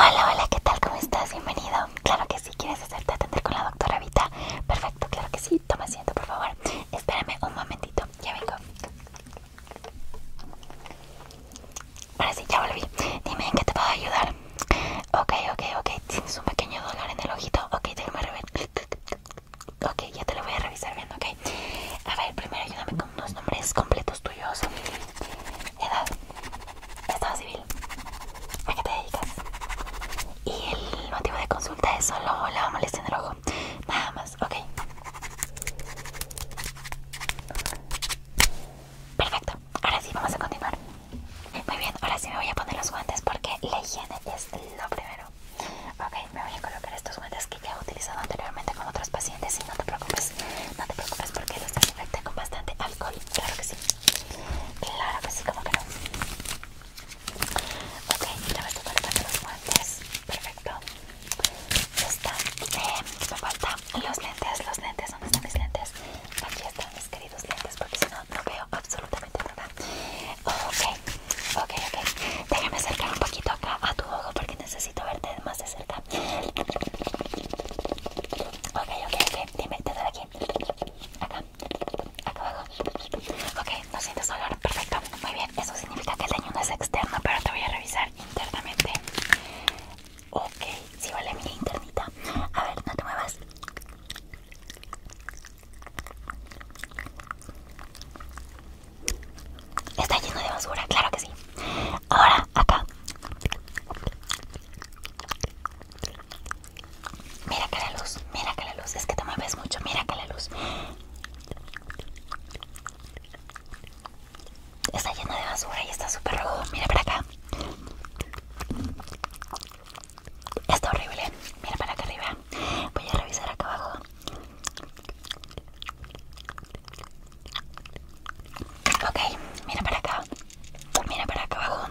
Hola, hola, ¿qué tal? ¿Cómo estás? Bienvenido. Claro que sí, ¿quieres hacerte atender con la doctora Vita? Perfecto, claro que sí. Toma asiento, por favor. Espérame un momentito, ya vengo. Ahora sí, ya volví. Dime en qué te puedo ayudar. Ok, ok, ok. Tienes un pequeño dolor en el ojito. Ok, déjame Ok, ya te lo voy a revisar bien, ok. A ver, primero ayúdame con unos nombres completos tuyos. Edad. Estado civil. ¿A qué te dedicas? Y el motivo de consulta es solo la molestia en el ojo. Nada más, ok. Perfecto, ahora sí vamos a continuar. Muy bien, ahora sí me voy a poner los guantes porque la higiene es lo primero. Ok, me voy a colocar estos guantes que ya he utilizado anteriormente con otros pacientes y no te preocupes, no te preocupes porque los desinfecté con bastante alcohol. Claro que sí. Claro que sí, como que no. Ok, ya me estoy para los guantes. Perfecto. Ya está. Em, me faltan los lentes. Los lentes, ¿dónde están mis lentes? Aquí están mis queridos lentes porque si no, no veo absolutamente nada. Ok, ok, ok. Déjame acercar un poquito acá a tu ojo porque necesito necesito verte más de cerca. Ok, ok, ok, dime, te doy aquí. Acá, acá abajo. Ok, no sientes dolor, perfecto. Muy bien, eso significa que el daño no es externo, pero te voy a revisar internamente. Ok, sí, vale, mi internita. A ver, no te muevas. Está lleno de basura, claro que sí. Ahora, acá. Mira que la luz, mira que la luz. Es que te mueves mucho, mira que la luz. Está llena de basura y está súper rojo. Mira para acá. Está horrible. Mira para acá arriba. Voy a revisar acá abajo. Ok, mira para acá. Mira para acá abajo.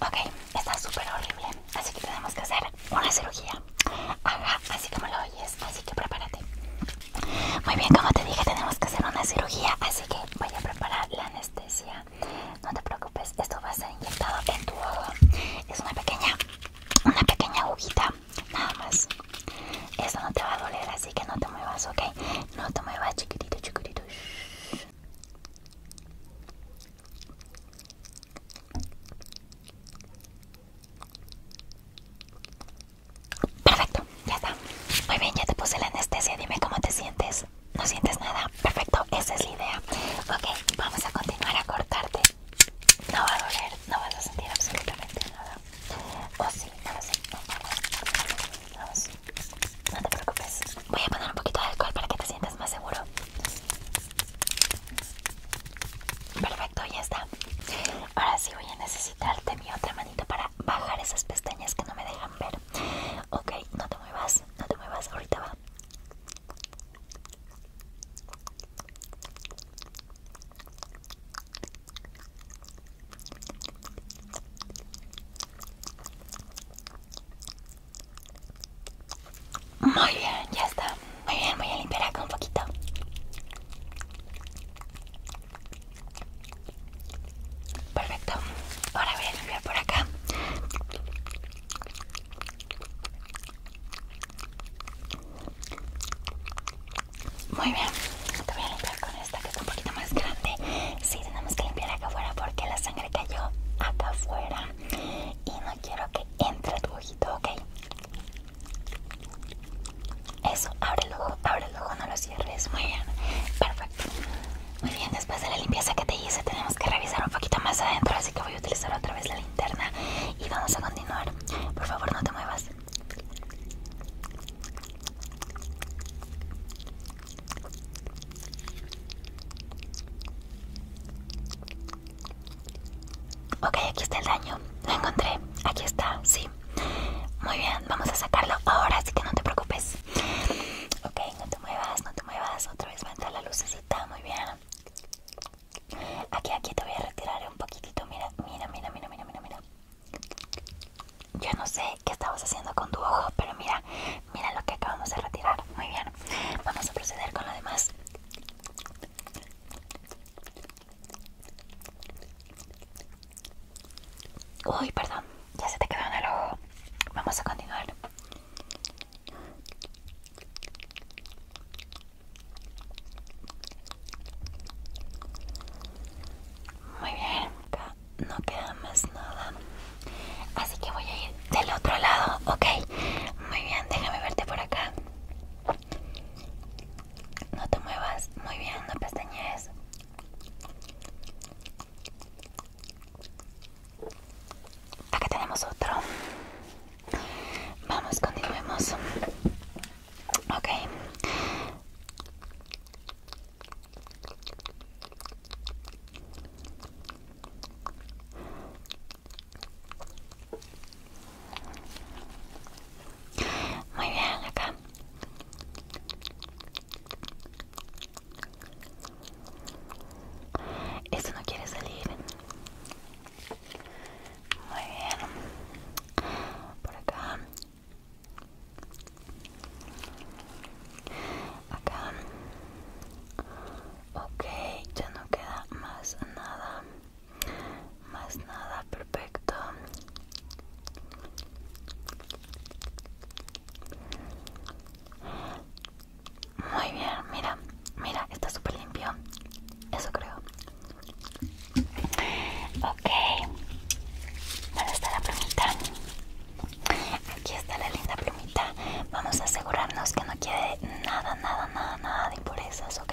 Ok, está súper horrible. Así que tenemos que hacer una cirugía. Ajá, así como lo oyes. Así que prepárate. Muy bien, como te dije, tenemos que hacer una cirugía. Así que voy a preparar la anestesia. No te preocupes, esto va a ser inyectado en tu ojo. Es una pequeña, una pequeña agujita nada más. Eso no te va a doler, así que no te muevas, ¿ok? No te muevas, chiquitito, chiquitito. Perfecto, ya está. Muy bien, ya te puse la anestesia. Dime cómo te sientes. No sientes nada. Perfecto, esa es la idea. Ok, vamos a continuar a cortarte. No va a doler, no vas a sentir absolutamente nada. O oh, sí, no lo sé. no te preocupes. Voy a poner un poquito de alcohol para que te sientas más seguro. Perfecto, ya está. Ahora sí voy a necesitarte mi otra manita para bajar esas pestañas que no me dejan ver. Ok, no te muevas, no te muevas, ahorita va. Muy bien, ya está. Muy bien, voy a limpiar acá un poquito. Perfecto. Ahora voy a limpiar por acá. Muy bien, te voy a limpiar con esta que está un poquito más grande. Sí, tenemos que limpiar acá afuera porque la sangre cayó acá afuera y no quiero que entre tu ojito, ¿ok? Eso, abre el ojo, abre el ojo, no lo cierres. Muy bien, perfecto. Muy bien, después de la limpieza que te hice, tenemos que revisar un poquito más adentro, así que voy a utilizar otra vez la y vamos a continuar. Por favor, no te muevas. Ok, aquí está el daño. Lo encontré. Aquí está, sí. Muy bien, vamos a sacarlo ahora, así que no te preocupes. Ok, no te muevas, no te muevas. Otra vez va a entrar la lucecita. Muy bien. Aquí, aquí te voy a retirar un poquitito. Mira, mira, mira, mira, mira, mira, mira. Yo no sé qué estabas haciendo con tu ojo, pero mira, mira lo que acabamos de retirar. Muy bien. Vamos a proceder con lo demás. Uy, perdón, ya se te quedó en el ojo. Vamos a continuar. Muy bien, acá no queda más nada. Así que voy a ir del otro lado, ok. Muy bien, déjame verte por acá. No te muevas, muy bien, no pestañees. Acá tenemos otro. Vamos, continuemos. Ok. Muy bien, acá. Esto no quiere salir. Muy bien. Por acá. Acá. Ok, ya no queda más nada. Más nada, perfecto. Muy bien, mira, mira, está súper limpio. Eso creo. Ok. ¿Dónde está la plumita? Aquí está la linda plumita. Vamos a asegurarnos que no quede nada, nada, nada, nada de impurezas, ¿ok?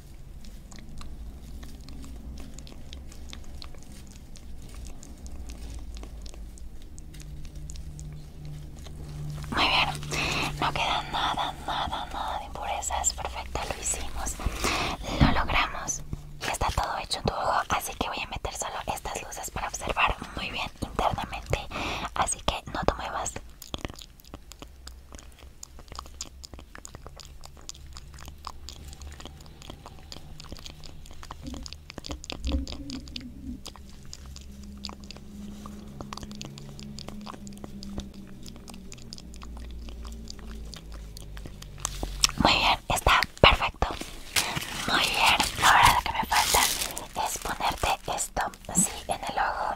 Muy bien, no queda nada, nada, nada de impurezas. Perfecto, lo hicimos, lo logramos y está todo hecho en tu ojo. Así que voy a meter solo estas luces para observar muy bien internamente. Así que no te muevas. Muy bien, está perfecto. Muy bien, ahora lo que me falta es ponerte esto así en el ojo.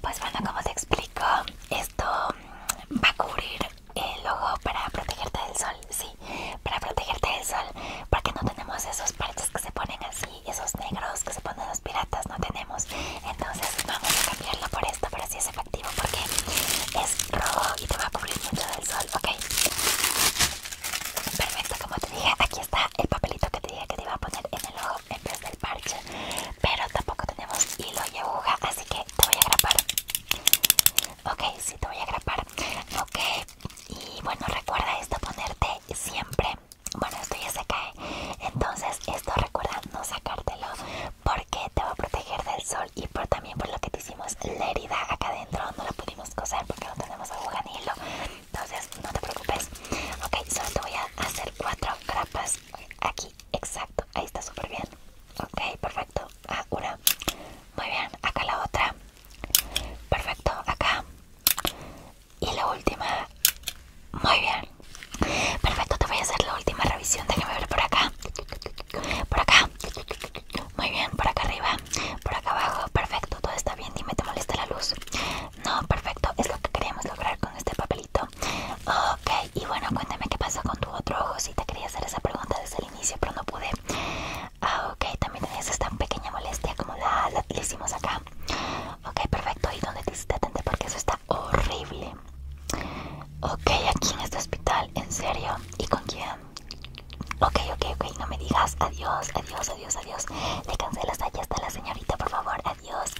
Pues bueno, como te explico, esto va a cubrir el ojo para protegerte del sol, sí, para protegerte del sol, porque no tenemos esos parches que se ponen así, esos negros que se ponen los piratas, no tenemos. Entonces vamos a cambiarlo por esto, pero sí es efectivo porque es rojo y te va a cubrir mucho del sol, ¿ok? Perfecto, como te dije, aquí está el papelito que te dije que te iba a poner en el ojo desde del parche pero tampoco tenemos hilo y aguja así que te voy a grapar ok sí te voy a grapar ok y bueno recuerda esto ponerte siempre bueno esto ya se cae entonces esto recuerda no sacártelo porque te va a proteger del sol y por, también por lo que te hicimos la herida acá adentro no la pudimos coser porque no tenemos aguja ni hilo entonces no te preocupes ok solo te voy a hacer cuatro grapas aquí Exacto, ahí está súper bien. Ok, perfecto. Ah, una. Muy bien, acá la otra. Perfecto, acá. Y la última. Muy bien. Perfecto, te voy a hacer la última revisión. Déjame ver por acá. Por acá. Muy bien, por acá arriba. Por acá abajo. Perfecto, todo está bien. Dime, ¿te molesta la luz? No, perfecto. Es lo que queríamos lograr con este papelito. Ok, y bueno, cuéntame qué pasa con tu otro ojo. Si sí, te quería hacer esa pregunta desde el inicio, pero no pude. Ah, ok, también tenías esta pequeña molestia como la, hicimos acá. Ok, perfecto. ¿Y dónde te hiciste atender? Porque eso está horrible. Ok, aquí en este hospital, en serio. ¿Y con quién? Ok, ok, ok, no me digas. Adiós, adiós, adiós, adiós. Le cancelas allá hasta la señorita, por favor. Adiós.